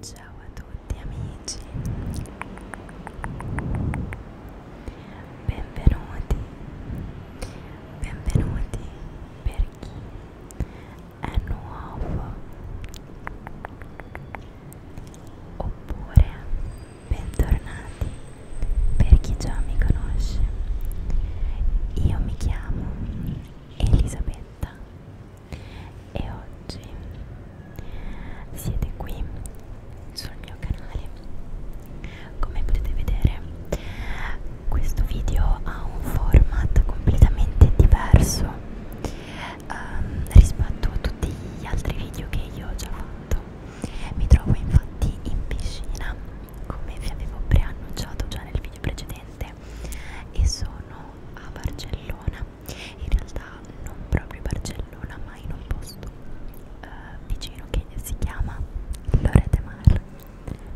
Ciao a tutti amici, benvenuti, benvenuti per chi è nuovo oppure Bentornati per chi già mi conosce. Io mi chiamo Elisabetta e oggi siete qui sul mio canale. Come potete vedere, questo video ha un format completamente diverso um, rispetto a tutti gli altri video che io ho già fatto mi trovo infatti in piscina come vi avevo preannunciato già nel video precedente e sono a Barcellona in realtà non proprio Barcellona ma in un posto uh, vicino che si chiama Lorete Mar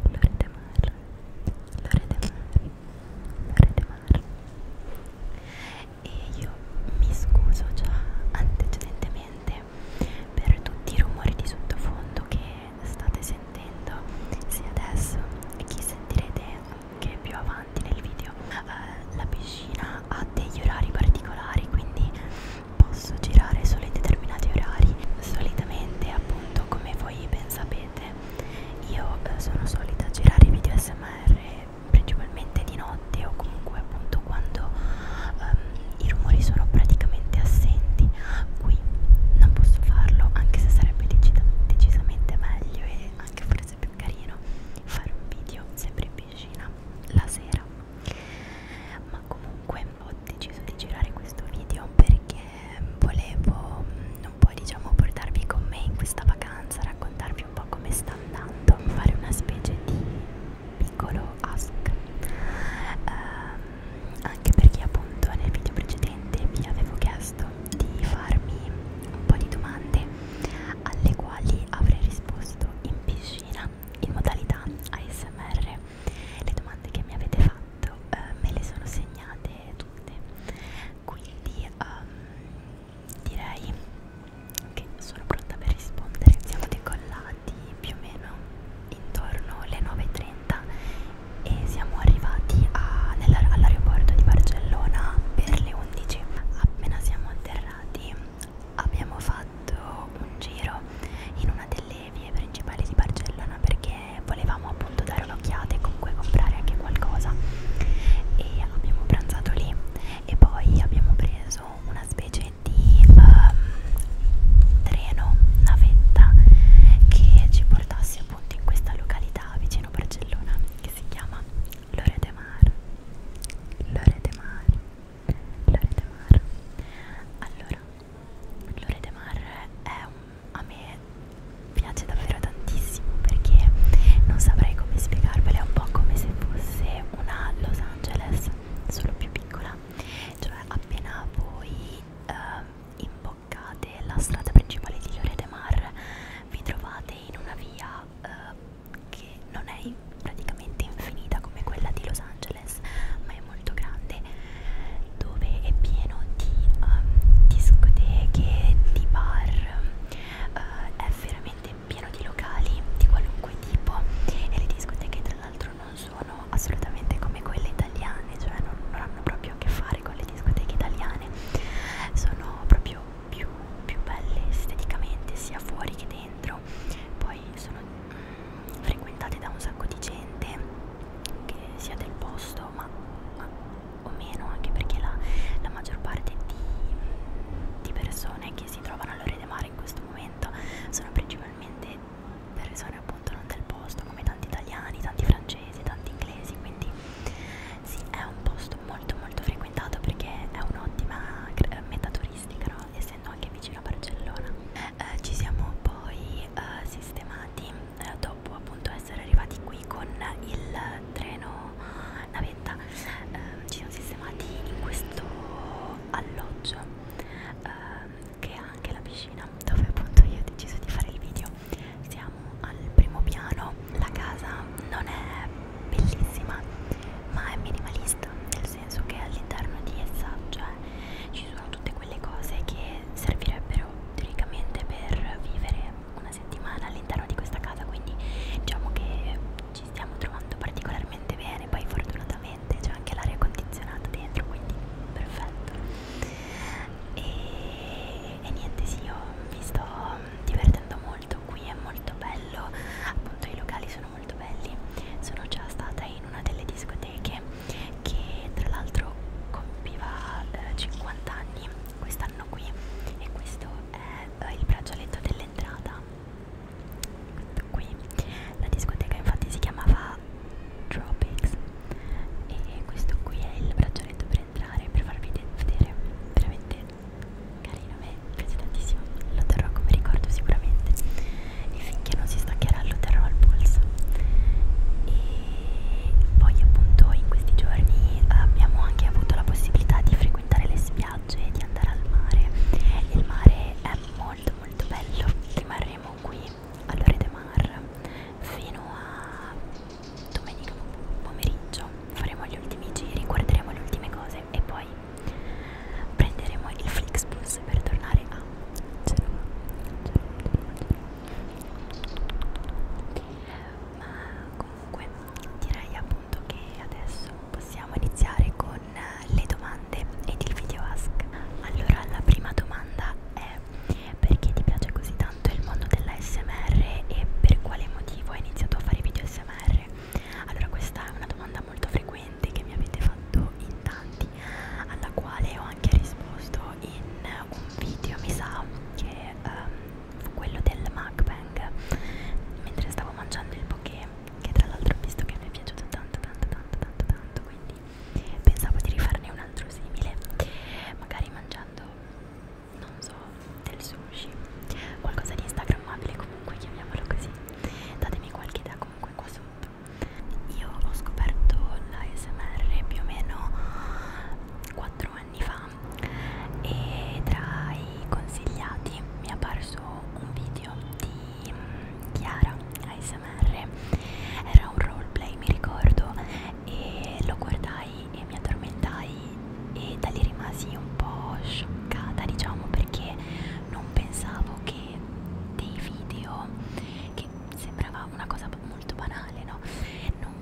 Lorete Mar Lorete Mar Lorete Mar e io mi scuso già antecedentemente per tutti i rumori di sottofondo che state sentendo sia adesso che sentirete anche più avanti nel video eh, la piscina ha degli orari particolari quindi posso girare solo in determinati orari solitamente appunto come voi ben sapete io eh, sono solita girare video smr principalmente di notte o comunque appunto quando um, i rumori sono praticamente assenti qui non posso farlo anche se sarebbe decis decisamente meglio e anche forse più carino fare un video sempre in piscina la sera ma comunque ho deciso di girare questo video perché volevo mm, un po' diciamo portarvi con me in questa vacanza raccontarvi vedere un po' come sta andando, fare una specie di piccolo ask uh, anche perché appunto nel video precedente vi avevo chiesto di farmi un po' di domande alle quali avrei risposto in piscina in modalità ASMR le domande che mi avete fatto uh, me le sono segnate tutte quindi um, direi che sono pronta per rispondere. Siamo decollati più o meno intorno alle 9.30 e siamo arrivati all'aeroporto di Barcellona per le 11. Appena siamo atterrati abbiamo fatto un giro in una delle vie principali di Barcellona perché volevamo appunto dare un'occhiata e comunque comprare anche qualcosa e abbiamo pranzato lì e poi abbiamo preso preso una specie di um, treno, navetta che ci portasse appunto in questa località vicino Barcellona che si chiama Lore de Mar. Lore de Mar. Lore de Mar. Allora, Lore de Mar è un, a me piace davvero tantissimo perché non saprei come spiegarvelo, è un po' come se fosse è una Los Angeles solo più piccola cioè appena voi eh, imboccate la strada principale di Lloret de Mar vi trovate in una via eh, che non è praticamente infinita come quella di Los Angeles ma è molto grande dove è pieno di um, discoteche, di bar, uh, è veramente pieno di locali di qualunque tipo e le discoteche tra l'altro non sono assolutamente come quelle italiane, cioè non, non hanno proprio a che fare con le discoteche italiane, sono proprio più, più belle esteticamente sia fuori che dentro, poi sono mm, frequentate da un sacco di gente che sia del posto ma, ma o meno anche perché la, la maggior parte di, di persone che che si trovano all'Ore del Mare in questo momento sono principalmente persone appunto non del posto, come tanti italiani, tanti francesi, tanti inglesi, quindi sì, è un posto molto molto frequentato perché è un'ottima eh, meta turistica, no? essendo anche vicino a Barcellona. Eh, ci siamo poi eh, sistemati eh, dopo appunto essere arrivati qui con il treno navetta eh, ci siamo sistemati in questo alloggio eh, che ha anche la piscina dove appunto io ho deciso di fare il video siamo al primo piano la casa non è bellissima ma è minimalista nel senso che all'interno di essa cioè ci sono tutte quelle cose che servirebbero teoricamente per vivere una settimana all'interno di questa casa quindi diciamo che ci stiamo trovando particolarmente bene poi fortunatamente c'è anche l'aria condizionata dentro quindi perfetto e, e niente sì io mi sto divertendo molto qui è molto bello appunto i locali sono molto belli sono già stata in una delle discoteche che tra l'altro compiva eh, 50 anni quest'anno qui e questo è eh, il braccialetto dell'entrata qui la discoteca infatti si chiamava Tropics e questo qui è il braccialetto per entrare per farvi vedere veramente carino me piace tantissimo lo terrò come ricordo sicuramente e finché non si staccherà lo terrò al polso e poi appunto in questi giorni eh, abbiamo anche avuto la possibilità di frequentare le, spiagge, di andare al mare. Il mare è molto molto bello. Rimarremo qui all'Ore de Mar fino a domenica pomeriggio. Faremo gli ultimi giri, guarderemo le ultime cose e poi prenderemo il Flixbus per tornare a Genova. Ma comunque direi appunto che adesso possiamo iniziare con eh, le domande ed il video ask. Allora, la prima domanda è perché ti piace così tanto il mondo dell'ASMR e per quale motivo hai iniziato a fare video ASMR? Allora, questa è una domanda molto frequente che mi avete fatto in tanti, alla quale ho anche risposto in un video, mi sa, che um, fu quello del mukbang mentre stavo mangiando il poké che tra l'altro ho visto che mi è piaciuto tanto tanto tanto tanto tanto quindi pensavo di rifarne un altro simile magari mangiando non so del sushi qualcosa di instagrammabile comunque chiamiamolo così datemi qualche idea comunque qua sotto io ho scoperto l'ASMR più o meno 4 anni fa e tra i consigliati mi è apparso un video video di mm, Chiara ASMR era un roleplay mi ricordo e lo guardai e mi addormentai e da lì rimasi un po' scioccata diciamo perché non pensavo che dei video che sembrava una cosa molto banale no non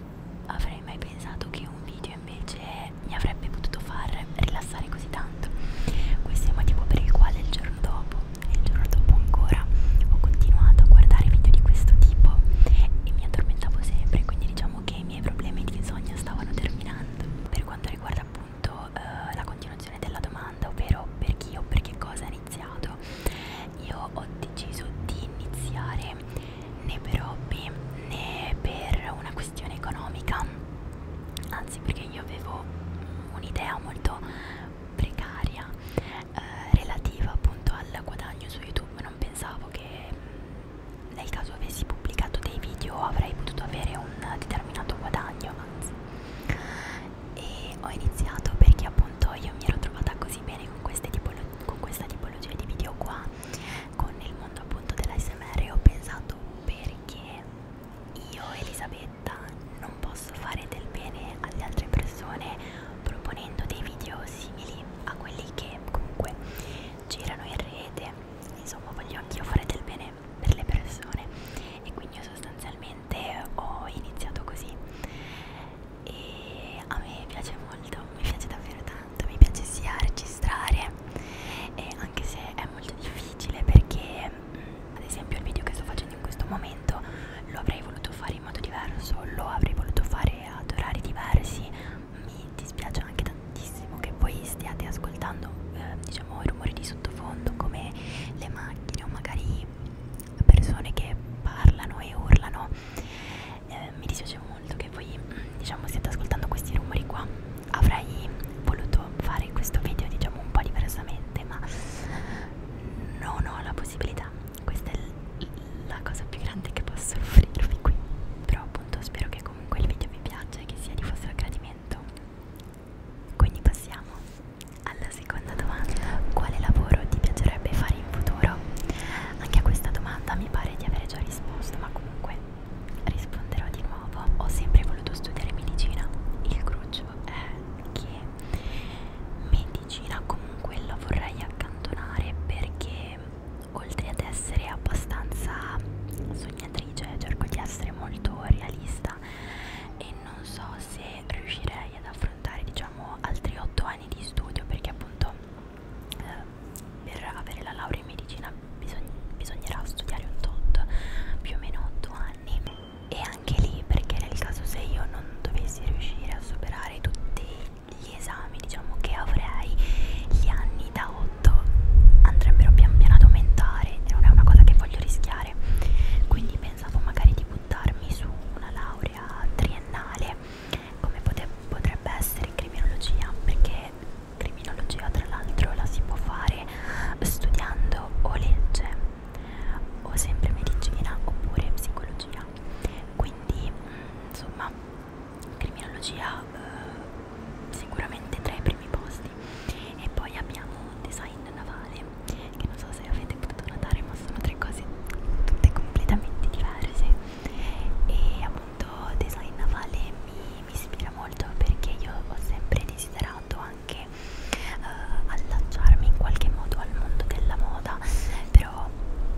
avrei mai pensato che un video che invece mi avrebbe potuto far rilassare così tanto questo è il motivo per il quale il giorno dopo e il giorno dopo ancora ho continuato a guardare video di questo tipo e mi addormentavo sempre quindi diciamo che i miei problemi di insonnia stavano terminando per quanto riguarda appunto eh, la continuazione della domanda ovvero per chi o per che cosa ho iniziato io ho deciso di iniziare né per hobby né per una questione economica, anzi perché io avevo un'idea molto precaria eh, relativa appunto al guadagno su YouTube, non pensavo che mm, nel caso avessi pubblicato dei video avrei potuto avere un determinato guadagno, anzi. E ho iniziato perché appunto io mi ero trovata così bene con, queste tipolo con questa tipologia di video qua, con il mondo appunto dell'ASMR e ho pensato perché io Elisabetta non posso fare del bene alle altre persone proponendo dei video simili a quelli che comunque girano in rete insomma voglio anch'io fare del bene per le persone e quindi io sostanzialmente ho iniziato così e a me piace molto mi piace davvero tanto mi piace sia registrare e anche se è molto difficile perché mm, ad esempio il video che sto facendo in questo momento lo avrei voluto fare in modo diverso, lo avrei voluto fare ad orari diversi, mi dispiace anche tantissimo che poi stiate ascoltando eh, diciamo i rumori di sottofondo come le macchine o magari persone che parlano e urlano, eh, mi dispiace molto che voi mm, diciamo stiate ascoltando questi rumori qua avrei voluto fare questo video diciamo un po' diversamente ma non ho la possibilità questa è la cosa più grande che posso offrirvi qui però appunto spero che comunque il video vi piaccia e che sia di vostro gradimento quindi passiamo alla seconda domanda quale lavoro ti piacerebbe fare in futuro anche a questa domanda mi pare di avere già risposto ma comunque risponderò di nuovo ho sempre voluto studiare medicina il cruccio è che medicina comunque la vorrei accantonare perché oltre ad essere abbastanza sognatrice cerco di essere molto realista e non so se riuscirei ad affrontare diciamo altri 8 anni di studio perché appunto eh, per avere la laurea in medicina allora bisog bisognerà studiare un tot più o meno 8 anni e anche lì perché nel caso se io non dovessi riuscire a superare tutti gli esami diciamo che avrei gli anni da 8 andrebbero pian piano ad aumentare e non è una cosa che voglio rischiare quindi pensavo magari di buttarmi su una laurea triennale come potrebbe essere criminologia perché criminologia tra l'altro la si può fare studiando o legge o sempre medicina oppure psicologia quindi mm, insomma criminologia eh, sicuramente tra i primi posti e poi abbiamo design navale che non so se avete potuto notare ma sono tre cose tutte completamente diverse e appunto design navale mi mi ispira molto perché io ho sempre desiderato anche eh, allacciarmi in qualche modo al mondo della moda, però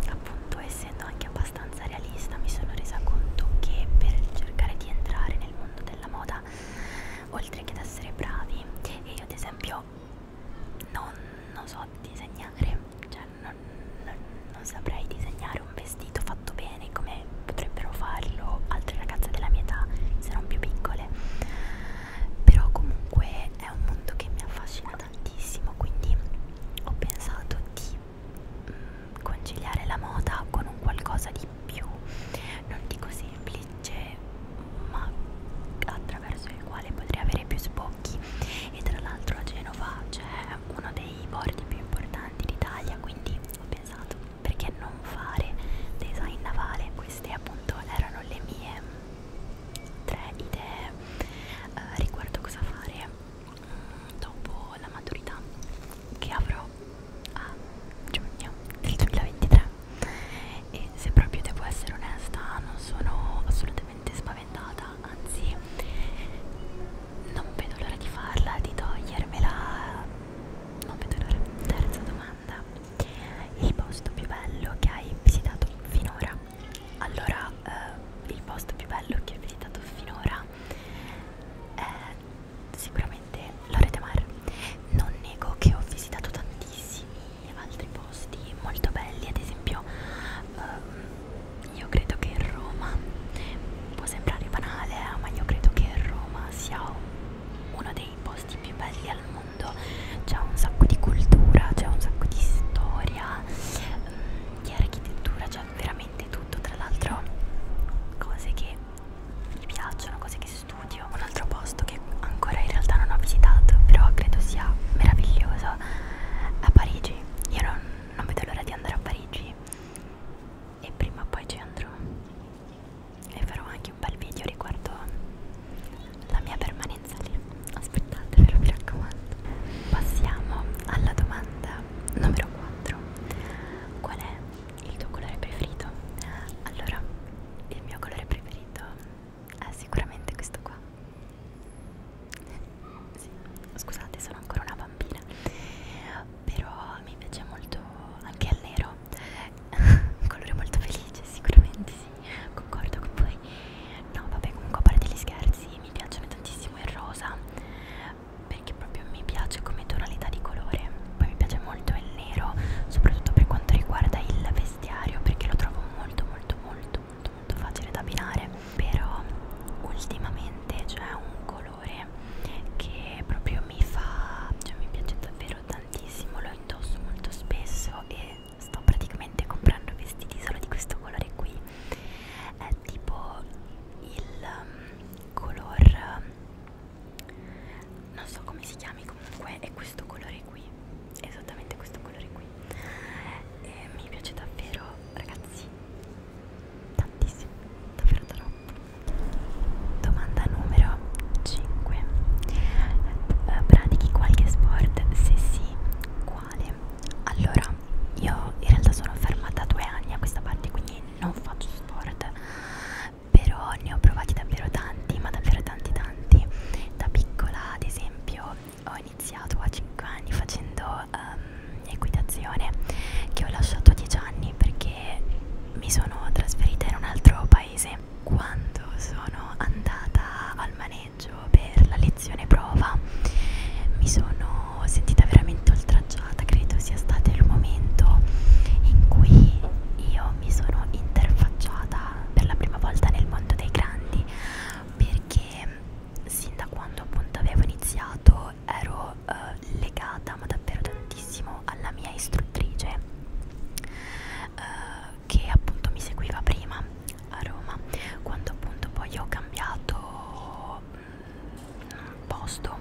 appunto essendo anche abbastanza realista mi sono resa conto che per cercare di entrare nel mondo della moda, oltre che ad essere bravi, e io ad esempio non, non so disegnare, cioè non, non, non saprei disegnare un vestito dito fatto bene come potrebbero farlo altre ragazze della mia età se non più piccole però comunque è un mondo che mi affascina tantissimo quindi ho pensato di mh, mm, conciliare la moda con un qualcosa di più non dico semplice ma attraverso il quale potrei avere più sbocchi e tra l'altro a Genova c'è uno dei bordi più importanti d'Italia quindi ho pensato perché non fare design navale queste appunto erano le mie mm, tre idee eh, riguardo cosa fare mm, dopo la maturità che avrò a giugno del 2023 e se proprio devo essere onesta non sono assolutamente spaventata anzi non vedo l'ora di farla di togliermela non vedo l'ora. Terza domanda: il posto più bello che hai visitato finora? Allora, eh, il posto più bello che ho visitato finora è sicuramente l'Orete Mar. Non nego che ho visitato tantissimi altri posti molto belli, ad esempio. Eh, io credo che Roma può sembrare banale, eh, ma io credo che Roma sia un uno dei posti più belli al mondo, c'è un sacco di cultura, c'è un sacco di storia, um, di architettura, c'è veramente tutto, tra l'altro cose che mi piacciono, cose che studio, un altro posto che ancora in realtà non ho visitato, però credo sia meraviglioso, a Parigi, io non, non vedo l'ora di andare a Parigi e prima o poi ci andrò e farò anche un bel video riguardo la mia permanenza lì aspettate ve lo mi raccomando passiamo alla domanda numero 4 qual è il tuo colore preferito? allora il mio colore preferito è sicuramente questo qua sì, scusate sono ancora una bambina però mi piace molto anche al nero un colore molto felice sicuramente sì concordo con voi no vabbè comunque a parte gli scherzi mi piacciono tantissimo il rosa perché proprio mi piace come tonalità di colore poi mi piace molto il nero soprattutto per quanto riguarda il vestiario perché lo trovo molto molto molto molto molto facile da abbinare però ultimamente c'è un colore colore che proprio mi fa cioè mi piace davvero tantissimo lo indosso molto spesso e sto praticamente comprando vestiti solo di questo colore qui è tipo il um, color um, non so come si chiami comunque è questo colore qui esattamente questo colore qui e mi piace davvero ragazzi tantissimo davvero troppo Domanda numero 5. Eh, pratichi qualche sport? Se sì, quale? Allora, io in realtà sono fermata due anni a questa parte, quindi non faccio sport. Però ne ho provati davvero tanti, ma davvero tanti tanti. Da piccola, ad esempio, ho iniziato a 5 anni facendo um, equitazione che ho lasciato a 10 anni perché e mi sono trasferita in un altro paese. Quando sono andata al maneggio per la lezione prova mi sono sentita veramente oltraggiata, credo sia stato il momento in cui io mi sono interfacciata per la prima volta nel mondo dei grandi perché sin da quando appunto avevo iniziato ero eh, legata ma davvero tantissimo tantissimo alla mia istruttrice eh, che appunto mi seguiva prima a Roma quando appunto poi ho cambiato mh, mm, posto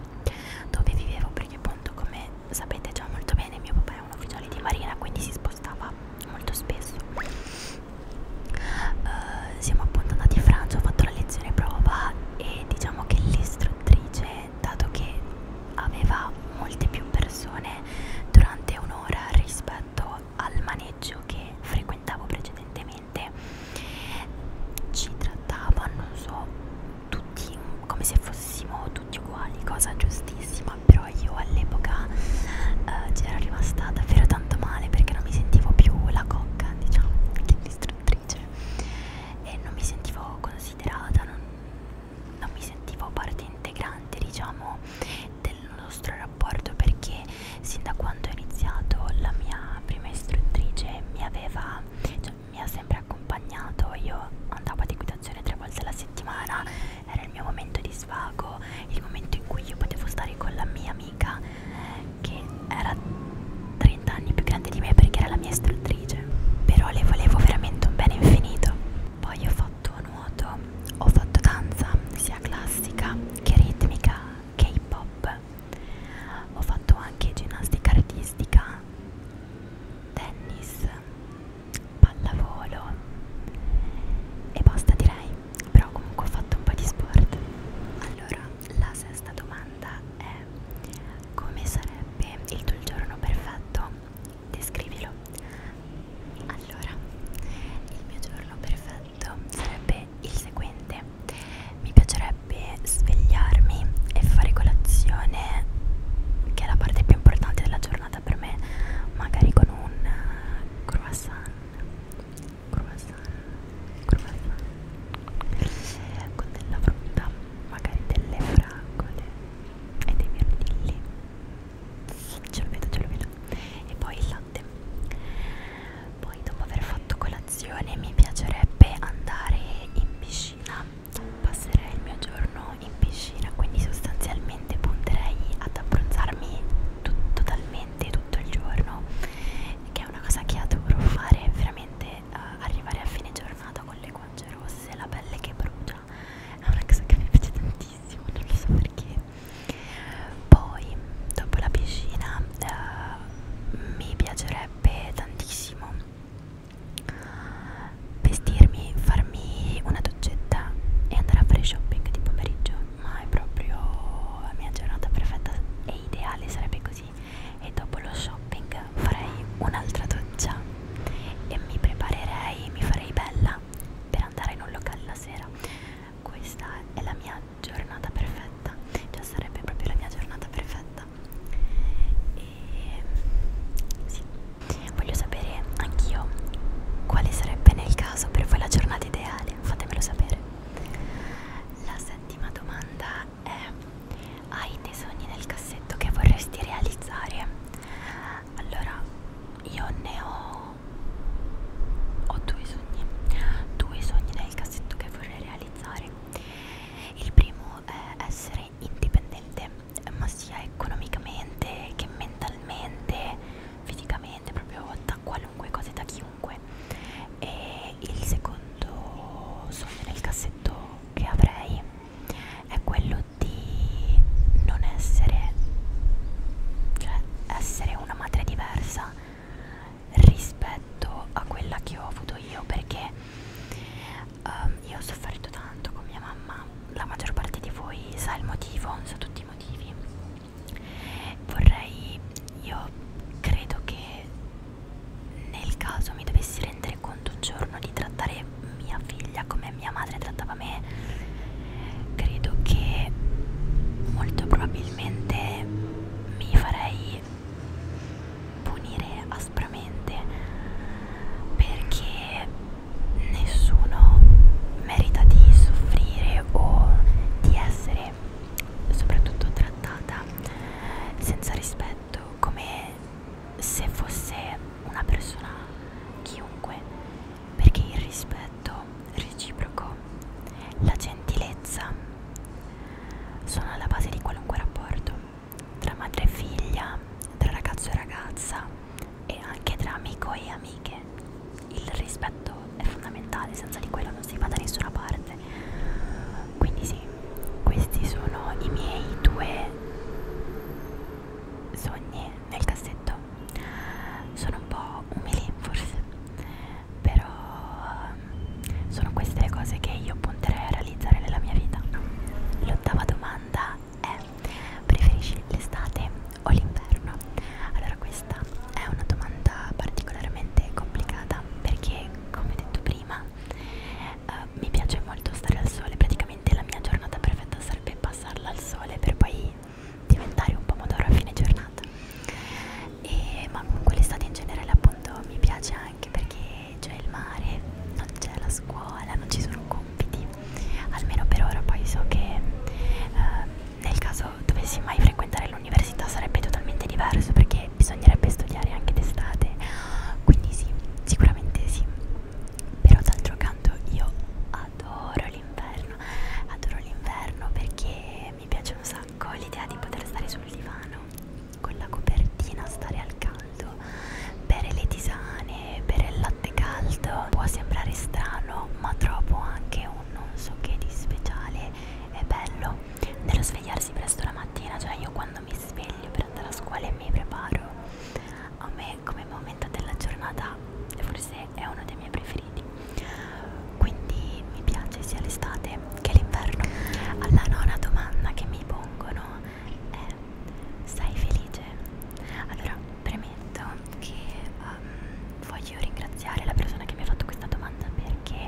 dove vivevo perché appunto come sapete già molto bene mio papà è un ufficiale di marina quindi si spostava molto spesso eh, siamo appunto andati in Francia ho fatto la lezione prova e diciamo che l'istruttrice perché dato che aveva molte più persone durante un'ora rispetto al maneggio che frequentavo precedentemente ci trattavano so, tutti come se fossimo tutti uguali cosa giustissima però io all'epoca eh, c'era rimasta davvero tanto male perché non mi sentivo più la cocca diciamo che l'istruttrice e non mi sentivo considerata non non mi sentivo parte integrante diciamo del nostro rapporto perché sin da quando ho iniziato la mia prima istruttrice mi aveva cioè, mi ha sempre accompagnato io andavo ad equitazione tre volte alla settimana era il mio momento di svago il momento in cui io potevo stare con la mia amica eh, che era tre 30 anni più grande di me perché era la mia istruttrice, però le volevo veramente un bene infinito. Poi ho fatto nuoto, ho fatto danza sia classica che ritmica, K-pop, ho fatto anche ginnastica artistica, tennis, pallavolo e basta direi, però comunque ho fatto un po' di sport. Allora, la sesta domanda è come sarebbe il tuo giorno perfetto? Descrivilo. Allora, il mio giorno perfetto sarebbe il seguente. Mi piacerebbe svegliarmi e fare colazione, che è la parte più importante della giornata per me, magari con un eh, croissant. Croissant, croissant con della frutta magari delle fragole e dei mirtilli ce lo vedo ce lo vedo e poi il latte poi dopo aver fatto colazione mi piacerebbe andare in piscina passerei il mio giorno in piscina quindi sostanzialmente punterei ad abbronzarmi tut totalmente tutto il giorno che è una cosa che adoro fare veramente uh, arrivare a fine giornata con le le guance rosse, la pelle che brucia è una cosa che mi piace tantissimo, non lo so perché poi dopo la piscina eh, mi piacerebbe tantissimo vestirmi, farmi una doccetta e andare a fare shopping di pomeriggio ma è proprio la mia giornata perfetta e ideale sarebbe così mesi e dopo lo shopping farei un'altra doccia e mi preparerei, mi farei bella per andare in un locale la sera. Questa è la mia giornata perfetta, cioè sarebbe proprio la mia giornata perfetta. E sì, voglio sapere anch'io quale sarebbe nel caso per voi la giornata ideale, fatemelo sapere. La settima domanda eh, hai dei sogni nel cassetto che vorresti realizzare allora io ne ho ho due sogni due sogni nel cassetto che vorrei realizzare il primo è essere indipendente ma sia economicamente che mentalmente fisicamente proprio da qualunque cosa da chiunque e il secondo sogno nel cassetto che avrei è quello di non essere, cioè essere una madre diversa rispetto a quella che ho avuto io perché um, io ho sofferto tanto con mia mamma, la maggior parte di voi sa il motivo, sa tutti i motivi. Vorrei, io credo che nel caso mi dovessi rendere conto un giorno di trattare mia figlia come mia madre trattava me, credo che molto probabilmente mi farei punire aspramente perché nessuno merita di soffrire o di essere soprattutto trattata senza rispetto tutto come se fosse una persona chiunque perché il rispetto reciproco la gentilezza sono alla base di qualunque rapporto tra madre e figlia tra ragazzo e ragazza e anche tra amico e amiche il rispetto è fondamentale senza di quello non si va da nessuna parte quindi sì questi sono i miei due sogni nel cassetto sono un po' umili forse però ehm, sono queste le cose che io punterei a realizzare nella mia vita l'ottava domanda è preferisci l'estate o l'inverno allora questa è una domanda particolarmente complicata perché come detto prima mi piace molto stare al sole, praticamente la mia giornata perfetta sarebbe passarla al sole per poi diventare un pomodoro a fine giornata. E, ma comunque l'estate in generale appunto mi piace anche perché c'è il mare, non c'è la scuola, non ci sono compiti, almeno per ora poi so che eh, nel caso dovessi mai frequentare l'università sarebbe totalmente diverso perché bisognerebbe studiare anche d'estate, quindi sì. Sicuramente sì, però d'altro canto io adoro l'inverno, adoro l'inverno perché mi piace un sacco l'idea di poter stare sul divano con la copertina, stare al caldo, bere le tisane, bere il latte caldo. Può sembrare strano, ma trovo anche un non so che di speciale e bello nello svegliarsi presto la mattina, cioè io quando mi sveglio per andare a scuola e mi preparo a me come momento della giornata forse è uno dei miei preferiti quindi mi piace sia l'estate che l'inverno alla nona domanda che mi pongono è sei felice? allora premetto che um, voglio ringraziare la persona che mi ha fatto questa domanda perché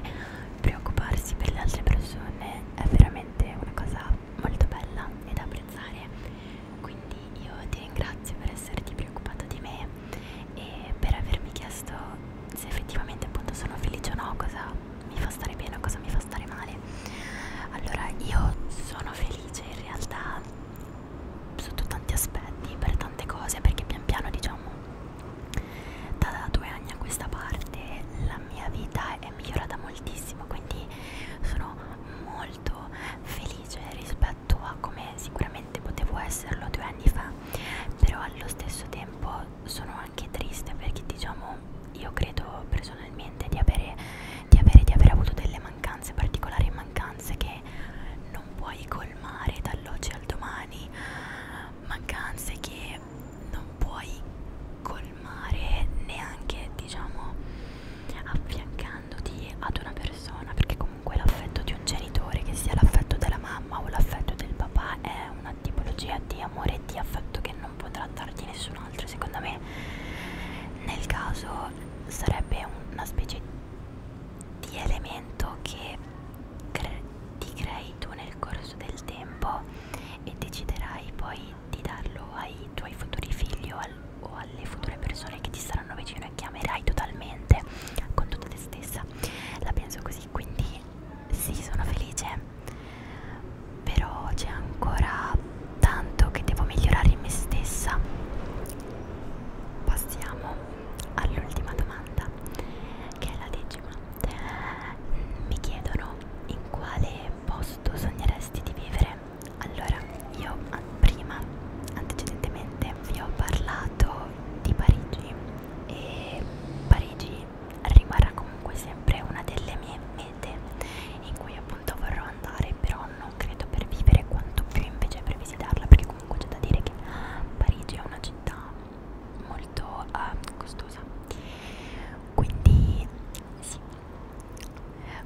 preoccuparsi per le altre persone è veramente una cosa molto bella e da apprezzare quindi io ti ringrazio per esserti preoccupato di me e per avermi chiesto se effettivamente appunto sono felice o no cosa mi fa stare bene o cosa mi fa stare male allora io sono felice in realtà sotto tanti aspetti per tante cose perché pian piano diciamo da due anni a questa parte la mia vita è migliorata moltissimo quindi sono molto felice rispetto a come sicuramente potevo esserlo due anni fa però allo stesso tempo sono anche triste perché diciamo io credo personalmente di avere, di avere, di avere avuto delle mancanze particolari mancanze che non puoi colmare dall'oggi al domani mancanze che non puoi colmare neanche diciamo affiancandoti ad una persona perché comunque l'affetto di un genitore che sia l'affetto della mamma o l'affetto del papà è una tipologia di amore e di affetto che non potrà darti nessun altro secondo me nel caso sarebbe una specie di elemento che cre ti crei tu nel corso del tempo e deciderai poi di darlo ai tuoi futuri figli o, al, o alle future persone che ti saranno vicino e che amerai totalmente con tutta te stessa la penso così quindi sì sono felice però c'è ancora tanto che devo migliorare in me stessa passiamo all'ultima domanda che è la decima mi chiedono in quale posto sogneresti di vivere? Allora, io prima, antecedentemente, vi ho parlato di Parigi e Parigi rimarrà comunque sempre una delle mie mete in cui appunto vorrò andare, però non credo per vivere quanto più invece per visitarla, perché comunque c'è da dire che Parigi è una città molto uh, costosa. Quindi sì,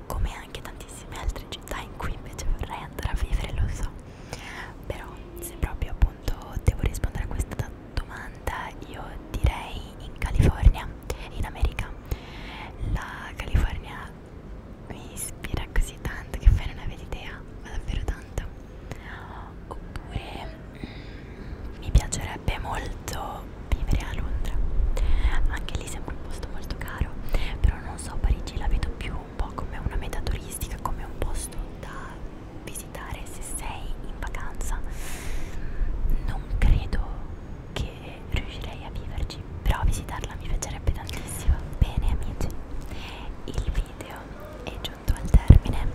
come anche tantissime altre città in cui invece vorrei andare a vivere, lo so. Però se proprio appunto devo rispondere a questa domanda, io direi in California, in America. La California mi ispira così tanto che poi non avete idea, ma davvero tanto. Oppure mm, mi piacerebbe molto vivere a Londra anche lì sembra un posto molto caro però non so Parigi la vedo più un po' come una meta turistica come un posto da visitare se sei in vacanza non credo che riuscirei a viverci però visitarla mi piacerebbe tantissimo bene amici il video è giunto al termine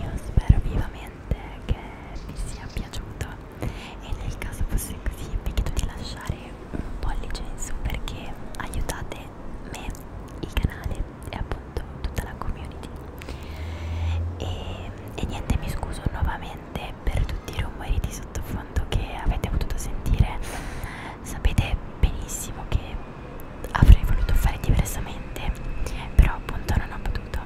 io spero vivamente che vi sia piaciuto e nel caso fosse così vi chiedo di lasciare un pollice in su perché aiutate me, il canale e appunto tutta la community e, e niente mi scuso nuovamente per tutti i rumori di sottofondo che avete potuto sentire sapete benissimo che avrei voluto fare diversamente però appunto non ho potuto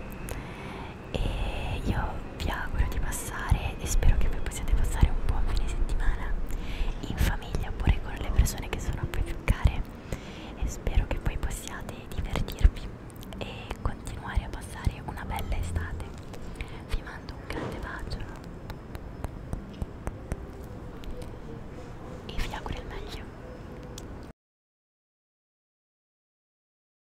e io vi auguro di passare e spero che voi possiate passare un buon fine settimana in famiglia oppure con le persone che sono a voi più care e spero che voi possiate divertirvi e continuare a passare una bella estate vi mando un grande bacio e vi auguro il meglio